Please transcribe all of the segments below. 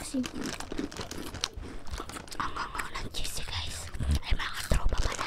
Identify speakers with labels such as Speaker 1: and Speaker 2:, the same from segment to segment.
Speaker 1: Kasi, ang hangaw ng cheesy guys, ay mga tropa pala.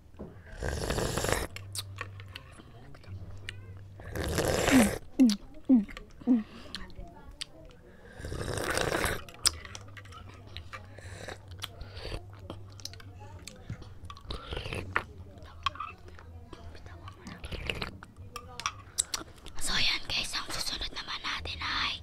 Speaker 1: So yan guys, ang susunod naman natin ay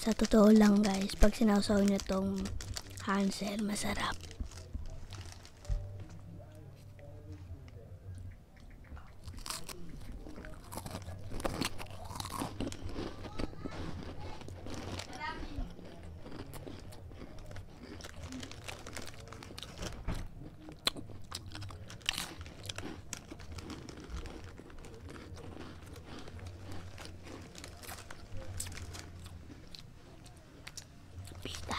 Speaker 2: Sa totoo lang guys, pag sinawsaw nyo tong Hansel, masarap.
Speaker 1: Pita.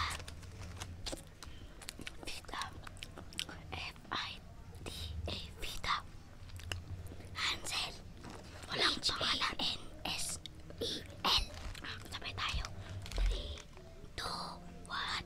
Speaker 1: Pita. F-I-T-A. Pita. Hansel. Walang e pangalan. H-A-N-S-E-L. Sabay tayo. 3, 2, 1.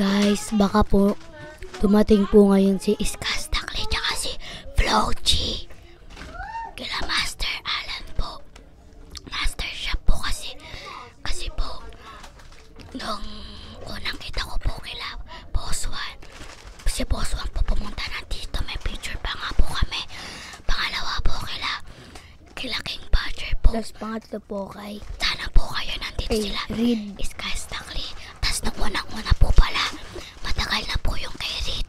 Speaker 2: Guys, baka po dumating po ngayon si
Speaker 1: Iskas Takli tsaka si Floji. Kila Master Alan po. Master siya po kasi. Kasi po, nung unang kita ko po kila Boss Juan, si Boss Juan po pumunta na dito. May picture pa nga po kami. Pangalawa po kila, kila King Badger po. Tapos pangatlo po kay... Sana po kayo nandito hey, sila. Reed. Sky Stackley. Tapos nung unang-una po pala, matagal na po yung kay Reed.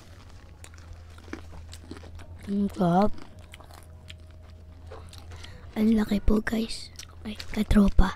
Speaker 1: Ang gab. Ang laki po guys. Ay, katropa.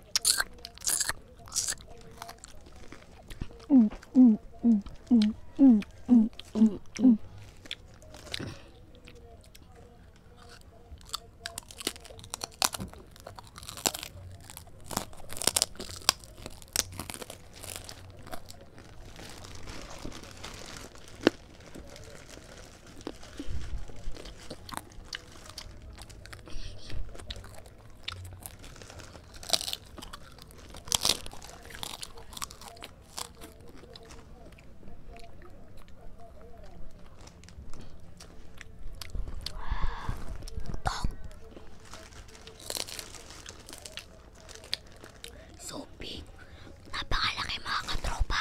Speaker 1: 嗯嗯嗯嗯嗯嗯嗯嗯。Tong. So big. Napakalaki mga katropa.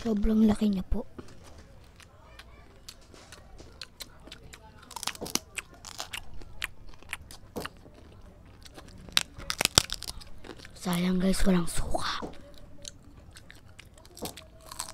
Speaker 1: Sobrang laki niya po. Sayang guys, walang suka.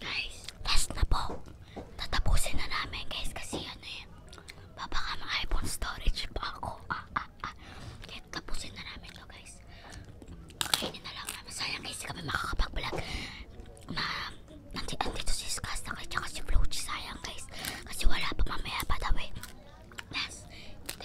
Speaker 1: Guys, last na po. Tatapusin na namin guys kasi ano eh. Baka mga iPhone storage pa ako. Ah, ah, ah. Kaya tapusin na namin to guys. Kainin na lang namin. Sayang guys, kami makakapag-vlog. Ma, nandito, nandito si Skas na kayo tsaka si Flochi. Sayang guys. Kasi wala pa mamaya pa daw eh. Last 3,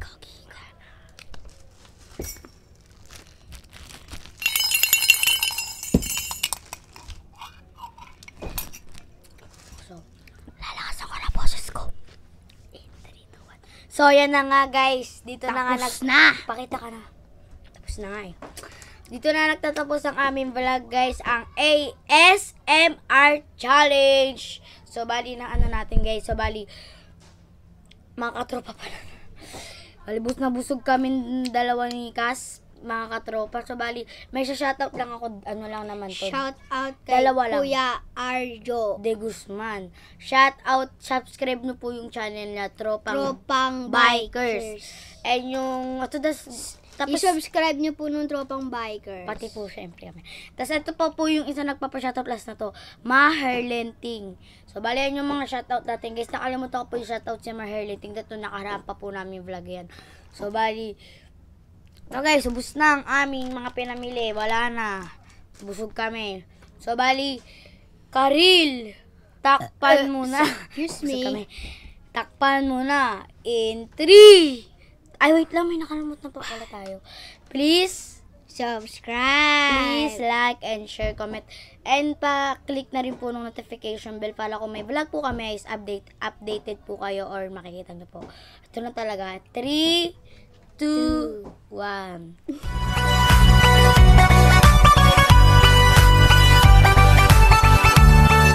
Speaker 1: 거기가나
Speaker 2: So, lalakas ako na boses ko. 8, 3, 2, 1. So, yan na nga guys. Dito na nga Tapos na! Pakita ka na. Tapos na nga eh. Dito na nagtatapos ang aming vlog guys. Ang A ay SMR Challenge. So, bali na ano natin guys. So, bali, mga katropa pala. Bali, bus na busog kami dalawa ni Cas mga katropa. So, bali, may shoutout lang ako, ano lang naman to. Shoutout kay Dalawa lang. Kuya Arjo. De Guzman. Shoutout, subscribe nyo po yung channel na Tropang, Tropang Bikers. Bikers. And yung, ato das, tapos, I-subscribe nyo po nung tropang bikers. Pati po, syempre kami. Tapos, ito pa po yung isa nagpapa-shoutout last na to. Maherlenting. So, bali yan yung mga shoutout natin. Guys, nakalimutan ko po yung shoutout si Maherlenting. Dito, nakaraan pa po namin vlog yan. So, bali. So, guys, ubus na ang aming mga pinamili. Wala na. Busog kami. So, bali. Karil. Takpan uh, uh, muna. Excuse me. Takpan mo na. In 3. Ay, wait lang. May nakalimut na pa pala tayo. Please, subscribe. Please, like and share, comment. And pa-click na rin po ng notification bell para kung may vlog po kami is update, updated po kayo or makikita nyo po. Ito na talaga. 3, 2, 1.